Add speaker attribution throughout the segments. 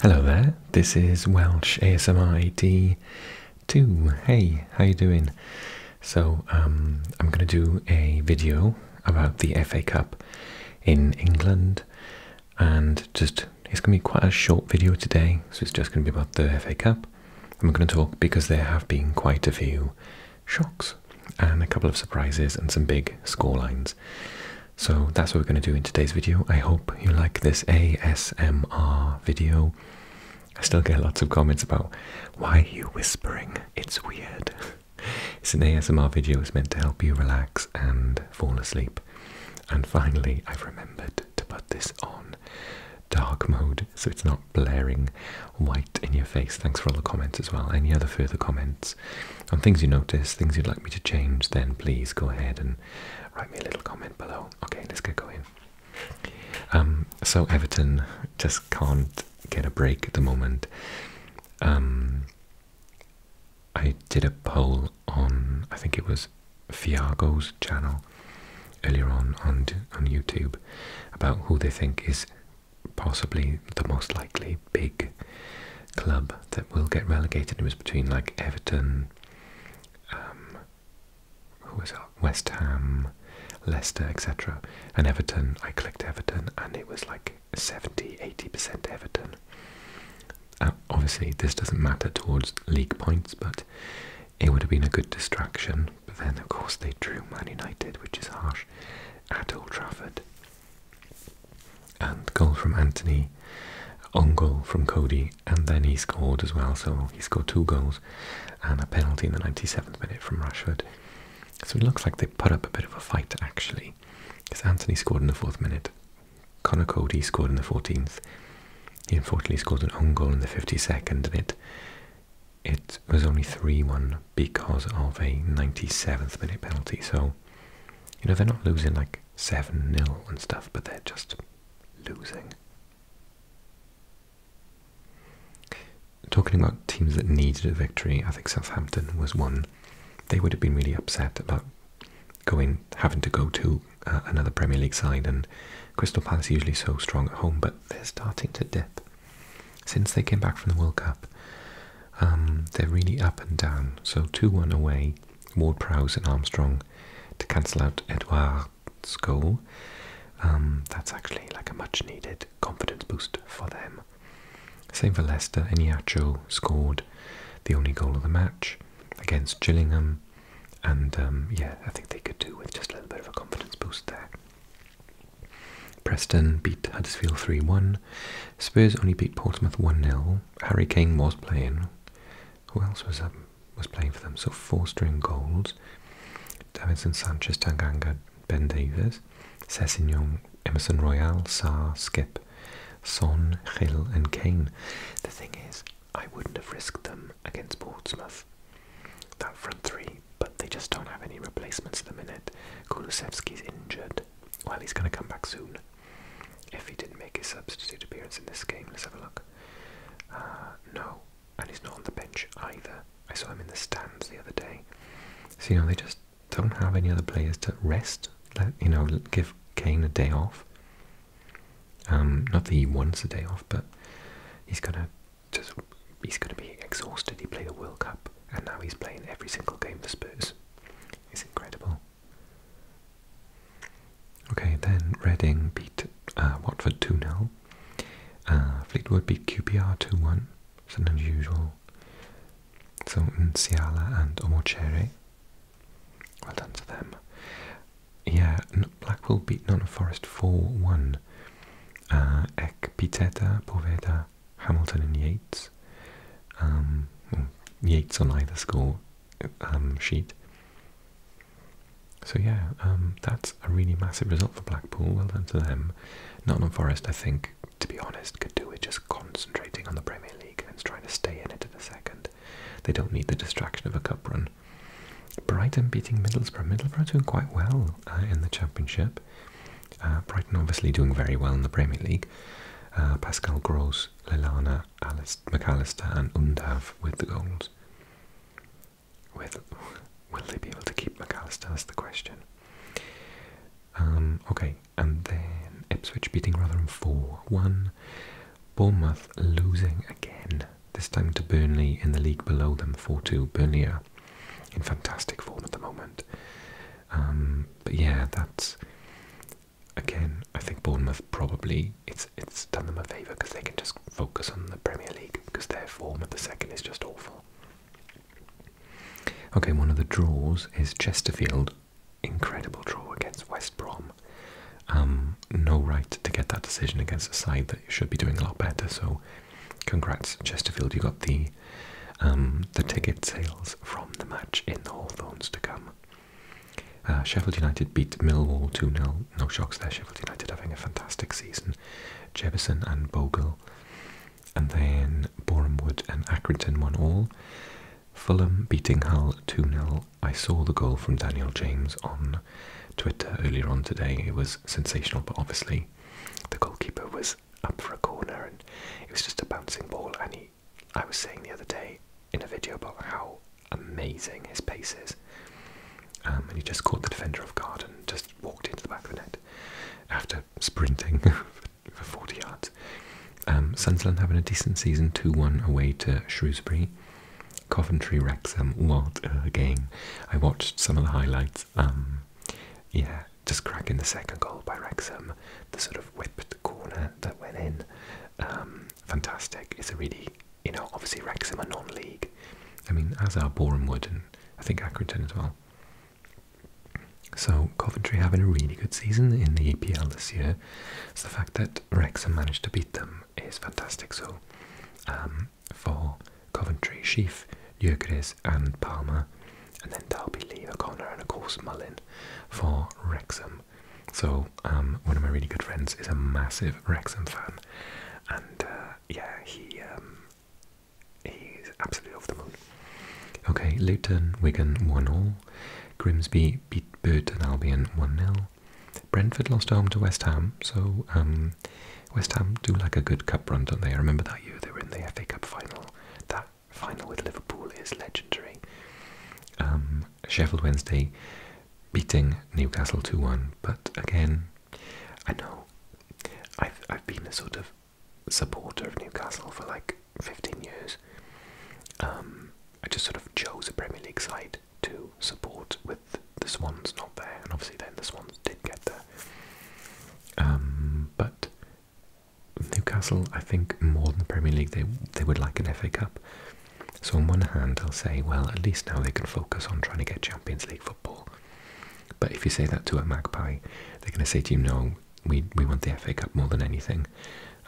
Speaker 1: Hello there, this is Welsh ASMR 2 Hey, how you doing? So, um, I'm going to do a video about the FA Cup in England and just, it's going to be quite a short video today, so it's just going to be about the FA Cup. I'm going to talk because there have been quite a few shocks and a couple of surprises and some big scorelines. So that's what we're going to do in today's video. I hope you like this ASMR video. I still get lots of comments about why are you whispering? It's weird. it's an ASMR video. It's meant to help you relax and fall asleep. And finally, I've remembered to put this on dark mode so it's not blaring white in your face. Thanks for all the comments as well. Any other further comments? on things you notice, things you'd like me to change, then please go ahead and write me a little comment below. Okay, let's get going. Um, so Everton just can't get a break at the moment. Um, I did a poll on, I think it was Fiago's channel earlier on on on YouTube about who they think is possibly the most likely big club that will get relegated. It was between like Everton, um, who was up? West Ham, Leicester, etc. And Everton, I clicked Everton, and it was like 70 80% Everton. Uh, obviously, this doesn't matter towards league points, but it would have been a good distraction. But then, of course, they drew Man United, which is harsh, at Old Trafford. And goal from Anthony, on goal from Cody, and then he scored as well. So he scored two goals and a penalty in the 97th minute from Rushford. So it looks like they put up a bit of a fight actually, because Anthony scored in the fourth minute. Connor Cody scored in the 14th. He unfortunately scored an own goal in the 52nd, and it was only 3-1 because of a 97th minute penalty. So, you know, they're not losing like 7 0 and stuff, but they're just losing. Talking about teams that needed a victory, I think Southampton was one. They would have been really upset about going having to go to uh, another Premier League side, and Crystal Palace is usually so strong at home, but they're starting to dip since they came back from the World Cup. Um, they're really up and down. So 2-1 away, Ward-Prowse and Armstrong to cancel out Edouard's goal. Um, that's actually like a much-needed confidence boost for them. Same for Leicester. Eniacho scored the only goal of the match against Gillingham. And um, yeah, I think they could do with just a little bit of a confidence boost there. Preston beat Huddersfield 3 1. Spurs only beat Portsmouth 1 0. Harry Kane was playing. Who else was um, was playing for them? So four string goals. Davinson Sanchez, Tanganga, Ben Davies, Sessignon, Emerson Royale, Saar, Skip, Son, Hill and Kane. The thing is, I wouldn't have risked them against Portsmouth. That front three, but they just don't have any replacements at the minute. Kulusevski's injured. Well, he's going to come back soon. If he didn't make his substitute appearance in this game, let's have a look. Uh, no, and he's not on the bench either. I saw him in the stands the other day. So, you know, they just don't have any other players to rest, let, you know, give Kane a day off. Um, not that he wants a day off, but he's gonna just he's gonna be exhausted. He played the World Cup, and now he's playing every single game for Spurs. It's incredible. Okay, then Reading beat uh, Watford 2 0. Uh, Fleetwood beat QPR 2 1. It's an unusual. So Nsiala and Omochere. Well done to them. Yeah, Blackpool beat Nottingham Forest 4 1. Uh, Ek, Piteta, Poveda, Hamilton, and Yates. Um, Yates on either score um, sheet. So yeah, um, that's a really massive result for Blackpool. Well done to them. Nottingham Forest, I think, to be honest, could do with just concentrating on the Premier League and trying to stay in it at the second. They don't need the distraction of a cup run. Brighton beating Middlesbrough. Middlesbrough doing quite well uh, in the Championship. Uh, Brighton obviously doing very well in the Premier League. Uh, Pascal Gross goals, Lilana, McAllister and Undav with the goals. With, will they be able to keep McAllister? That's the question. Um, okay, and then Ipswich beating Rotherham 4-1. Bournemouth losing again, this time to Burnley in the league below them 4-2. Burnley are in fantastic form at the moment. Um, but yeah, that's again, I think Bournemouth probably it's it's done them a favour because they can just focus on the Premier League because their form at the second is just awful. Okay, one of the draws is Chesterfield, incredible draw against West Brom. Um, no right to get that decision against a side that should be doing a lot better. So, congrats Chesterfield, you got the um, the ticket sales from the match in the Hawthorns to come. Uh, Sheffield United beat Millwall 2 0. No shocks there. Sheffield United having a fantastic season. Jefferson and Bogle. And then Boreham Wood and Accrington won all. Fulham beating Hull 2 0. I saw the goal from Daniel James on Twitter earlier on today. It was sensational, but obviously the goalkeeper was up for a corner and it was just a bouncing ball and he I was saying the other day in a video about how amazing his pace is. Um, and he just caught the defender off guard and just walked into the back of the net after sprinting for 40 yards. Um, Sunderland having a decent season 2 1 away to Shrewsbury. Coventry Wrexham, what uh, a game. I watched some of the highlights. Um, yeah, just cracking the second goal by Wrexham, the sort of whipped corner that went in. Um, fantastic. It's a really you know obviously Wrexham are non-league. I mean as are Boreham and I think Accrington as well. So Coventry having a really good season in the EPL this year. the fact that Wrexham managed to beat them is fantastic. So um, for Coventry, Sheaf, Gyökeres and Palmer, and then Derby, Lee, O'Connor, and of course Mullin for Wrexham. So um, one of my really good friends is a massive Wrexham fan, and uh, yeah, he um, he's absolutely off the moon. Okay, Luton, Wigan one all, Grimsby beat Burton Albion one 0 Brentford lost home to West Ham, so um, West Ham do like a good cup run, don't they? I remember that year they were in the FA Cup final that final with Liverpool is legendary. Um, Sheffield Wednesday beating Newcastle 2 1, but again, I know I've, I've been a sort of supporter of Newcastle for like 15 years. Um, I just sort of chose a Premier League side to support with the Swans not there, and obviously then the Swans did get there. Um, but Newcastle, I think, more than the Premier League, they they would like an FA Cup. So on one hand, I'll say, well, at least now they can focus on trying to get Champions League football. But if you say that to a Magpie, they're going to say to you, no, we we want the FA Cup more than anything.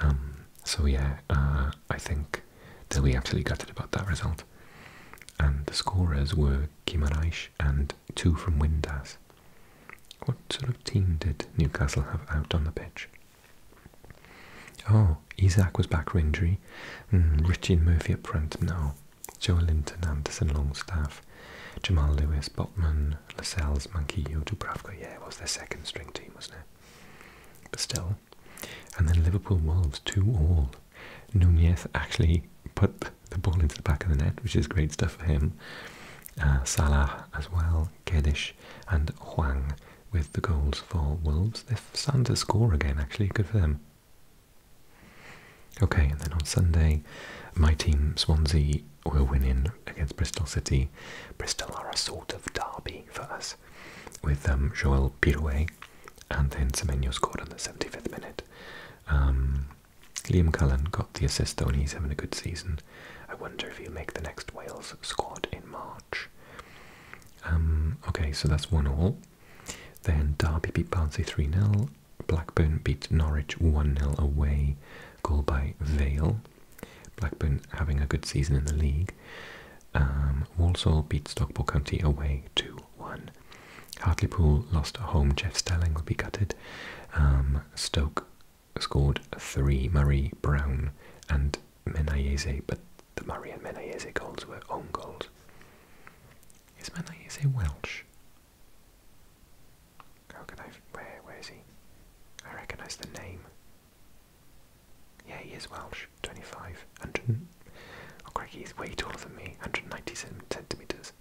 Speaker 1: Um, so yeah, uh, I think they'll be absolutely gutted about that result. And the scorers were Kimaraish and two from Windas. What sort of team did Newcastle have out on the pitch? Oh, Isaac was back for injury. Hmm, Richie Murphy at front, now. Joe Linton, Anderson, Longstaff, Jamal Lewis, Botman, Lascelles, Manquillo, Dubravka. Yeah, it was their second string team, wasn't it? But still. And then Liverpool Wolves, 2 all. Nunez actually put the ball into the back of the net, which is great stuff for him. Uh, Salah as well, Kedish, and Huang with the goals for Wolves. They're starting to score again, actually. Good for them. Okay, and then on Sunday, my team, Swansea, were winning against Bristol City. Bristol are a sort of derby for us, with um, Joel Pirouet, and then Semenyo scored in the 75th minute. Um, Liam Cullen got the assist, though, and he's having a good season. I wonder if you will make the next Wales squad in March. Um, okay, so that's one all. Then Derby beat Barnsley 3 0. Blackburn beat Norwich 1 0 away, goal by Vale. Blackburn having a good season in the league. Um, Walsall beat Stockport County away 2 1. Hartlepool lost at home. Jeff Stelling will be gutted. Um, Stoke scored three. Murray Brown and Menayeze, but the Murray and Menayeze goals were own goals. Is Menayeze Welsh? How can I? Where? Where is he? I recognise the name. Yeah, he is Welsh. Twenty-five hundred. Oh, Craig, he's way taller than me. 197 centimeters.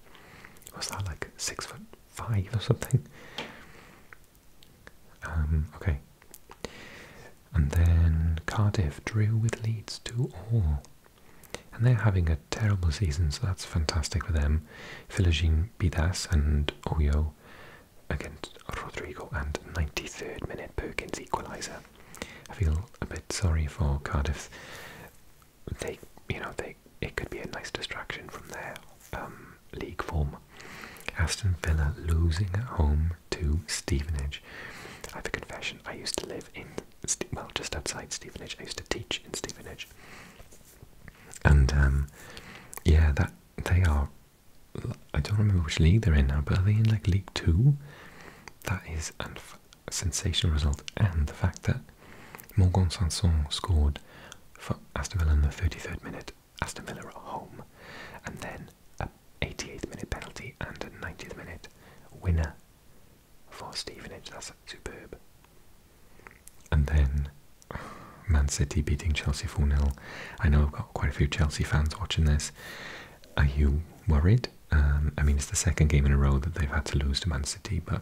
Speaker 1: What's that like? Six foot five or something? Um, okay. And then Cardiff drew with Leeds 2 all. And they're having a terrible season, so that's fantastic for them. Philogene Bidas and Oyo against Rodrigo and 93rd minute Perkins equaliser. I feel a bit sorry for Cardiff. They, you know, they it, could be a nice distraction from their um, league form. Aston Villa losing at home to Stevenage. I have a confession, I used to live in, well, just outside Stevenage. I used to teach in Stevenage. And, um, yeah, that they are, I don't remember which league they're in now, but are they in, like, League 2? That is a sensational result. And the fact that Morgan Sanson scored for Aston Villa in the 33rd minute Aston Villa at home, and then a 88th minute penalty and a 90th minute winner for Stevenage. That's superb. And then Man City beating Chelsea 4 nil. I know I've got quite a few Chelsea fans watching this. Are you worried? Um, I mean, it's the second game in a row that they've had to lose to Man City, but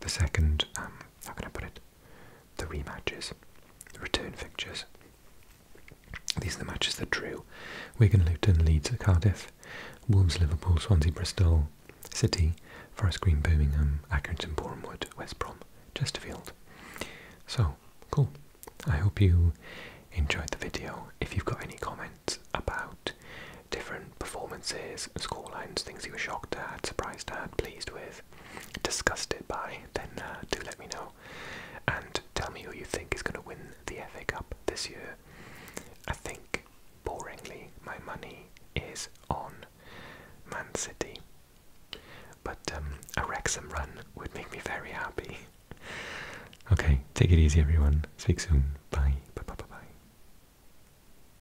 Speaker 1: the second, um, how can I put it, the rematches, return fixtures. These are the matches that drew Wigan, Luton, Leeds, Cardiff, Wolves, Liverpool, Swansea, Bristol, City, Forest Green, Birmingham, Accrington, Bournemouth, West Brom, Chesterfield. So, cool. I hope you enjoyed the video. If you've got any comments about different performances scorelines, things he was shocked at, surprised at, pleased with, disgusted by, then uh, do let me know. And tell me who you think is going to win the FA Cup this year. I think, boringly, my money is on Man City. But um, a Wrexham run would make me very happy. Okay, take it easy, everyone. Speak soon. Bye. Bye bye bye bye.